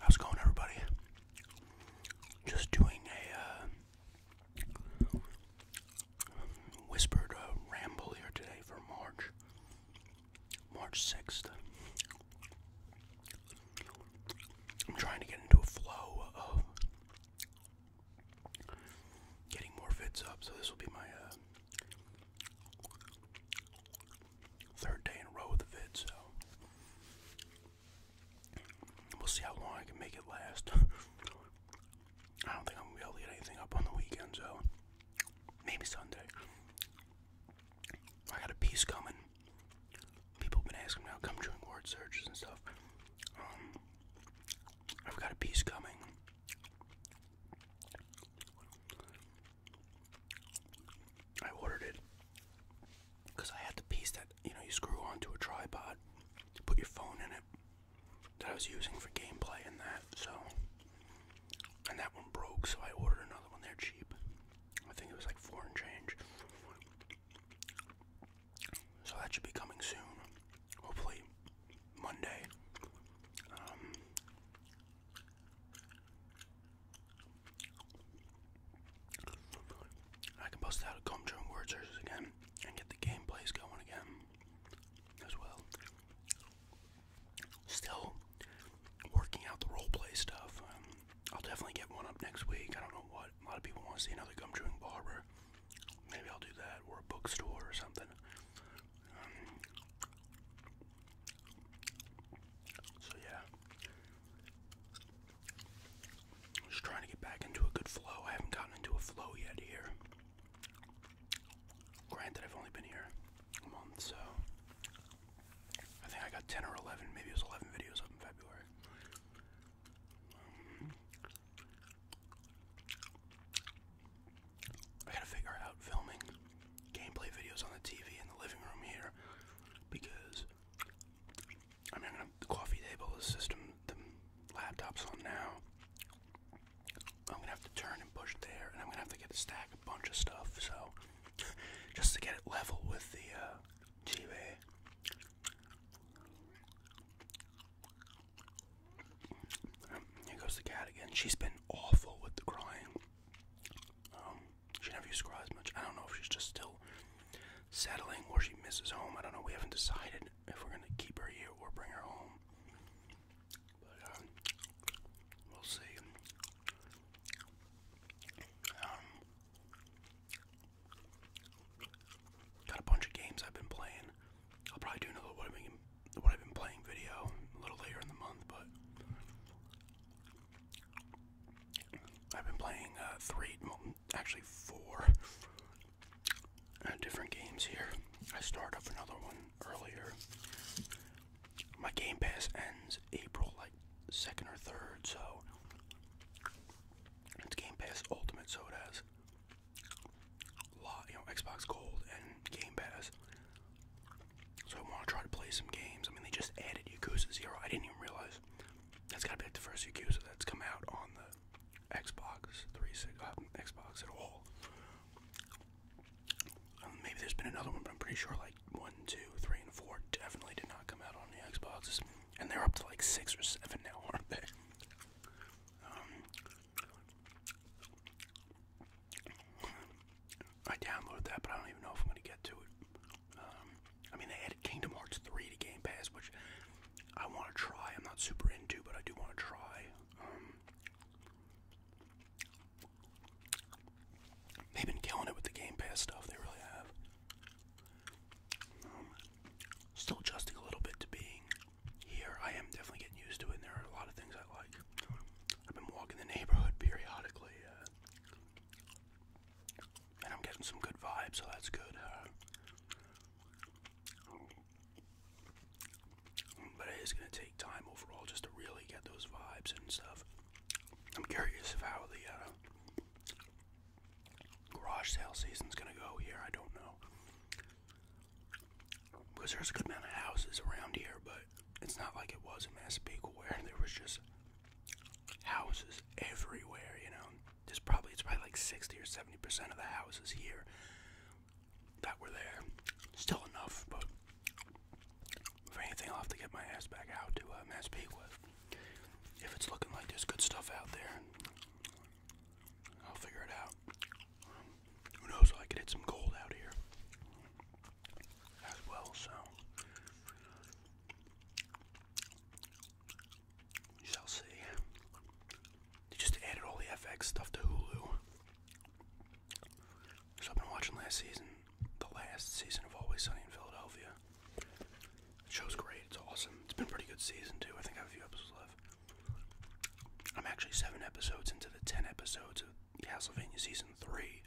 How's going, everybody? Just doing a uh, whispered uh, ramble here today for March, March sixth. I'm trying to get into a flow getting more vids up, so this will be my uh, third day in a row with the vid, so we'll see how long I can make it last. I don't think I'm gonna be able to get anything up on the weekend, so maybe Sunday. I got a piece coming. People have been asking me how come doing word searches and stuff. Um, I've got a piece coming I ordered it because I had the piece that you know you screw onto a tripod, put your phone in it that I was using for gameplay and that. So, and that one broke, so I ordered another one. there cheap. I think it was like foreign change. So that should be coming soon hopefully Monday. Um, I can bust out a Comb Word Searches again and get the gameplays going again as well. Still working out the roleplay stuff. Um, I'll definitely get one up next week. I don't know what. A lot of people want to see another gum chewing barber. Maybe I'll do that or a bookstore or something. Um, so yeah. just trying to get back into a good flow. I haven't gotten into a flow yet here. Granted, I've only been here a month, so I think I got 10 or 11, maybe it was 11 videos up in February. Um, I gotta figure out filming gameplay videos on the TV in the living room here because I am gonna the coffee table, the system, the laptop's on now. I'm gonna have to turn and push there, and I'm gonna have to get to stack a bunch of stuff. So, just to get it level with the uh, TV. Here goes the cat again. She's been awful with the crying. Um, she never used to cry as much. I don't know if she's just still settling or she misses home. I don't know. We haven't decided if we're gonna keep her here or bring her home. But um, we'll see. Um, Got a bunch of games I've been playing. I'll probably do another what I've been playing video a little later in the month, but I've been playing uh, three, actually four uh, different games here. I started up another one earlier. My Game Pass ends April like second or third, so it's Game Pass Ultimate, so it has lot, you know, Xbox Gold and Game Pass. So I want to try to play some games. I mean, they just added Yakuza Zero. I didn't even realize that's got to be like the first Yakuza that's come out on the Xbox 360, uh, um, Xbox at all. Um, maybe there's been another one, but I'm pretty sure like one, two, three, and four definitely did not come out on the Xboxes, and they're up to like six or seven now, aren't they? Um, I downloaded that, but I don't even know if I'm going to get to it. Um, I mean, they added Kingdom Hearts 3 to Game Pass, which I want to try. I'm not super into, but I do want to try. Um, they've been killing it with the Game Pass stuff. They really have. still adjusting a little bit to being here, I am definitely getting used to it, there are a lot of things I like. I've been walking the neighborhood periodically, uh, and I'm getting some good vibes, so that's good. but it is going to take time overall just to really get those vibes and stuff. I'm curious of how the uh, garage sale season's gonna go here. I don't know because there's a good amount of houses around here, but it's not like it was in Massapequa where there was just houses everywhere. You know, there's probably it's probably like 60 or 70 percent of the houses here that were there. Still enough, but if anything, I'll have to get my ass back out to uh, Massapequa if it's looking like there's good stuff out there. I'll figure it out. Who knows? I could hit some gold out here as well. So we shall see. They just added all the FX stuff to Hulu. So I've been watching last season, the last season of Always Sunny in Philadelphia. The show's great. It's awesome. It's been a pretty good season too. I think I have a few episodes left. I'm actually seven episodes into the ten episodes of Castlevania season three,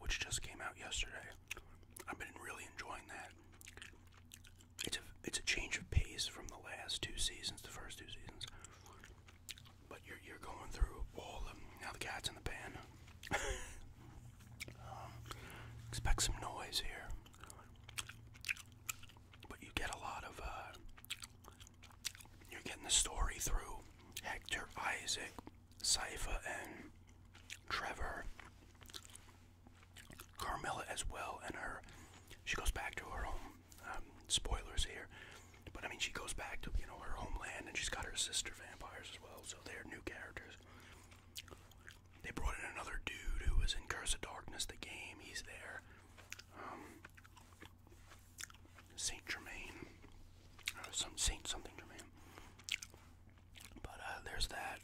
which just came out yesterday. I've been really enjoying that. It's a it's a change of pace from the last two seasons, the first two seasons. But you're you're going through all of Now the cat's in the pan. Um, expect some noise here. But you get a lot of, uh, you're getting the story through Hector, Isaac, Sypha, and Trevor. Carmilla as well, and her, she goes back to her home. Um, spoilers here, but I mean she goes back to you know her homeland, and she's got her sister vampires as well, so they're new characters. They brought in another dude who was in Curse of Darkness, the game. He's there. Um, Saint Germain, uh, some Saint something Germain. But uh, there's that.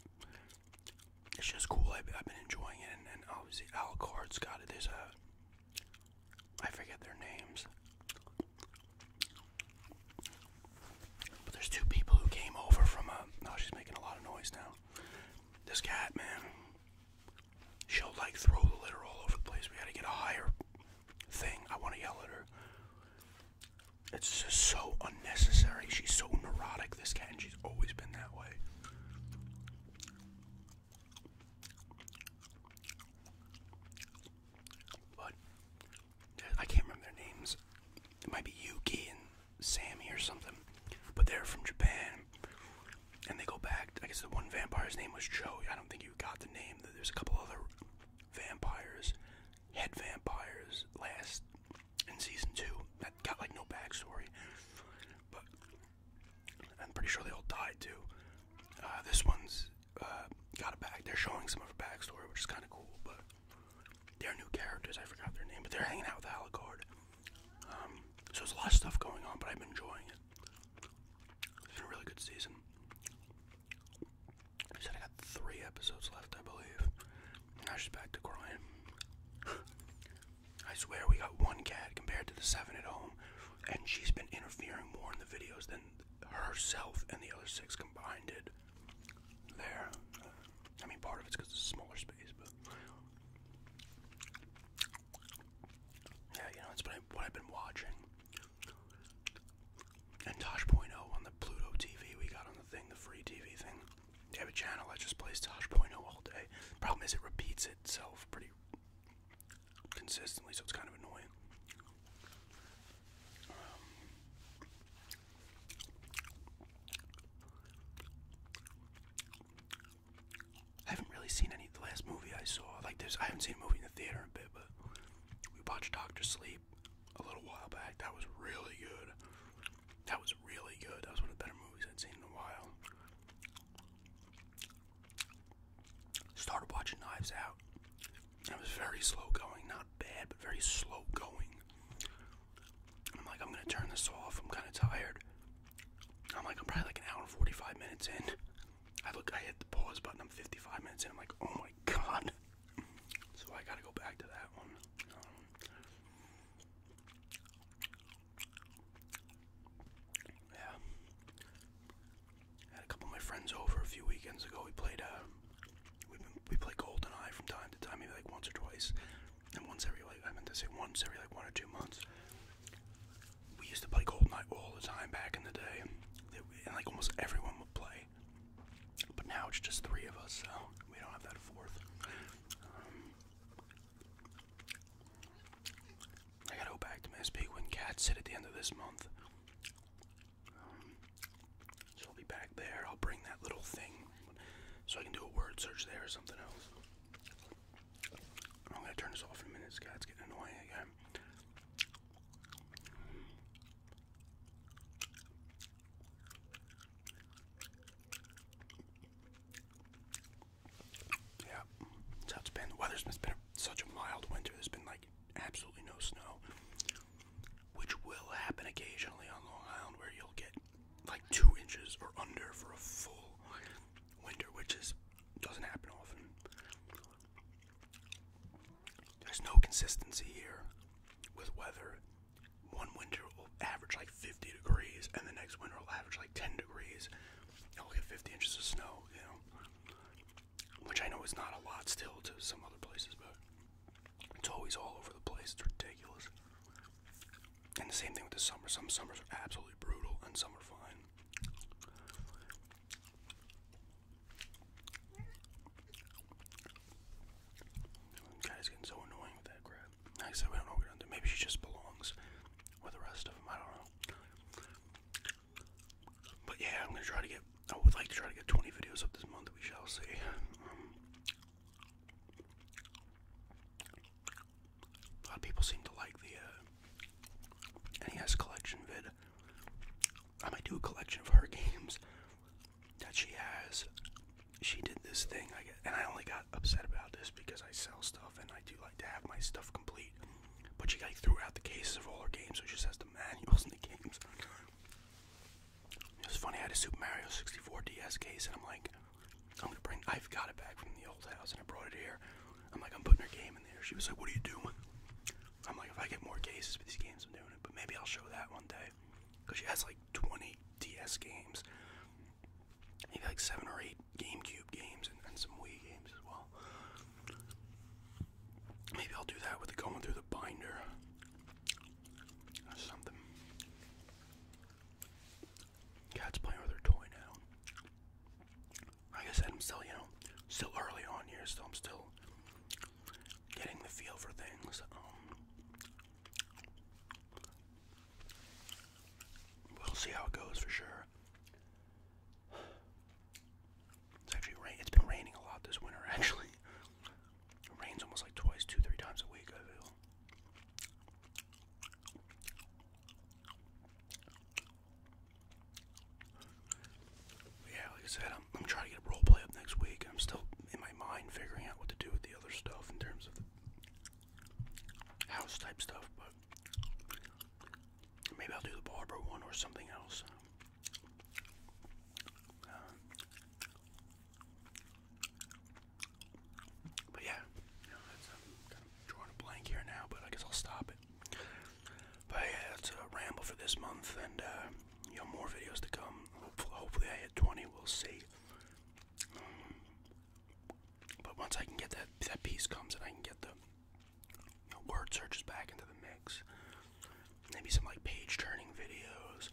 It's just cool. I've, been enjoying it, and, obviously Alucard's got it. There's a I forget their names. But there's two people who came over from a. Uh, no, oh, she's making a lot of noise now. This cat, man, she'll like throw the litter all over the place. We gotta get a higher thing. I wanna yell at her. It's just so unnecessary. She's so neurotic, this cat, and she's always been that way. But I can't remember their names. It might be Yuki and Sammy or something, but they're from Japan, and they go back. I guess the one vampire's name was Joe. I don't think you got the name. There's a couple other vampires, head vampires, last in season two that got like no backstory, but I'm pretty sure they all died too. Uh, this one's uh, got a back. They're showing some of her backstory, which is kind of cool, but. They're new characters. I forgot their name, but they're hanging out with Alucard. Um, so there's a lot of stuff going on, but I'm enjoying it. It's been a really good season. I said I got three episodes left, I believe. Now she's back to crying. I swear we got one cat compared to the seven at home, and she's been interfering more in the videos than herself and the other six combined did there. I mean, part of it's because it's a smaller space, but yeah, you know, it's been what I've been watching. And Tosh.0 on the Pluto TV we got on the thing, the free TV thing. They have a channel I just play plays Tosh.0 all day. Problem is, it repeats itself pretty consistently, so it's kind of annoying. I haven't really seen any. The last movie I saw, like this, I haven't seen a movie in the theater a bit, but we watched Doctor Sleep a little while back. That was really good. That was really good. That was one of the better movies I'd seen in a while. Started watching Knives Out. It was very slow going, not bad, but very slow going. I'm like, I'm gonna turn this off. I'm kind of tired. I'm like, I'm probably like an hour and 45 minutes in. I look, I hit the pause button. I'm 55 minutes in. I'm like, oh my god. So I gotta go back to that one. Um, yeah. had a couple of my friends over a few weekends ago. We played uh, we we play GoldenEye from time to time, maybe like once or twice, and once every like I meant to say once every like one or two months. We used to play GoldenEye all the time back in the day, and like almost everyone would play. But now it's just three of us, so we don't have that fourth. Um, I gotta go back to my speak when cats sit at the end of this month. So I'll be back there. I'll bring that little thing so I can do a word search there or something else. I'm gonna turn this off in a minute. This guy's getting annoying again. Yeah, that's how it's been. The weather has been such a mild winter. There's been like absolutely no snow which will happen occasionally on Long Island, where you'll get like two inches or under for a full winter, which is doesn't happen often. There's no consistency here with weather. One winter will average like 50 degrees, and the next winter will average like 10 degrees. And we'll get 50 inches of snow, you know, which I know is not a lot still to some other places, but it's always all over the place. It's ridiculous. And the same thing with the summer. Some summers are absolutely brutal, and some are fine. guy's getting so annoying with that crap. I said, we don't know what we're gonna do. Maybe she just belongs with the rest of them. I don't know. But yeah, I'm gonna try to get. I would like to try to get 20 videos up this month. We shall see. a lot of people seem to like the uh, NES collection vid. I might do a collection of her games that she has. She did this thing, and I only got upset about this because I sell stuff and I do like to have my stuff complete. But she like threw out the cases of all her games, so she has the manuals and the games. It's funny, I had a Super Mario 64 DS case, and I'm like, I'm gonna bring, I've got it back from the old house, and I brought it here. I'm like, I'm putting her game in there. She was like, what are you doing? I'm like, if I get more cases for these games, I'm doing it, but maybe I'll show that one day. Because she has like 20 DS games, maybe like 7 or 8 GameCube games, and some Wii games as well. Maybe I'll do that with it going through the binder or something. Cat's playing with her toy now. I said, I'm still, you know, still early on here, so I'm still getting the feel for things. Um, we'll see how it goes for sure. It's actually rain. It's been raining a lot this winter. Actually, it rains almost like twice, two, three times a week. yeah, like I said, I'm, I'm trying to get a up next week. I'm still in my mind figuring out what to do with the other stuff in terms of house type stuff, but maybe I'll do the barber one or something else. But yeah, drawing a blank here now, but I guess I'll stop it. But yeah, that's a ramble for this month, and uh, you know, more videos to come. Hopefully, hopefully I hit 20, we'll see. but once I can get that, that piece comes and I can get the word searches back into the mix. Maybe some like page turning videos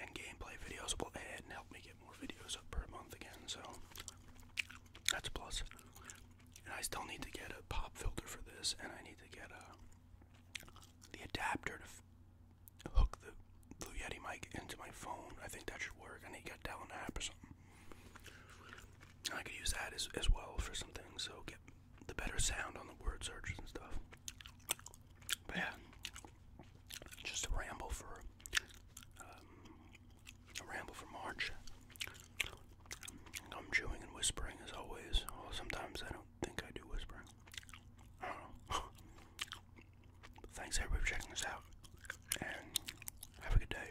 and gameplay videos will add and help me get more videos up per month again. So that's a plus. And I still need to get a pop filter for this, and I need to get a uh, the adapter to hook the Blue Yeti mic into my phone. I think that should work. I need to get down an app or something. I could use that as, as well for some things. So get the better sound on the word search and stuff. But yeah, just a ramble for um, a ramble for March. I'm chewing and whispering as always. sometimes I don't think I do whispering. Thanks everybody for checking this out, and have a good day.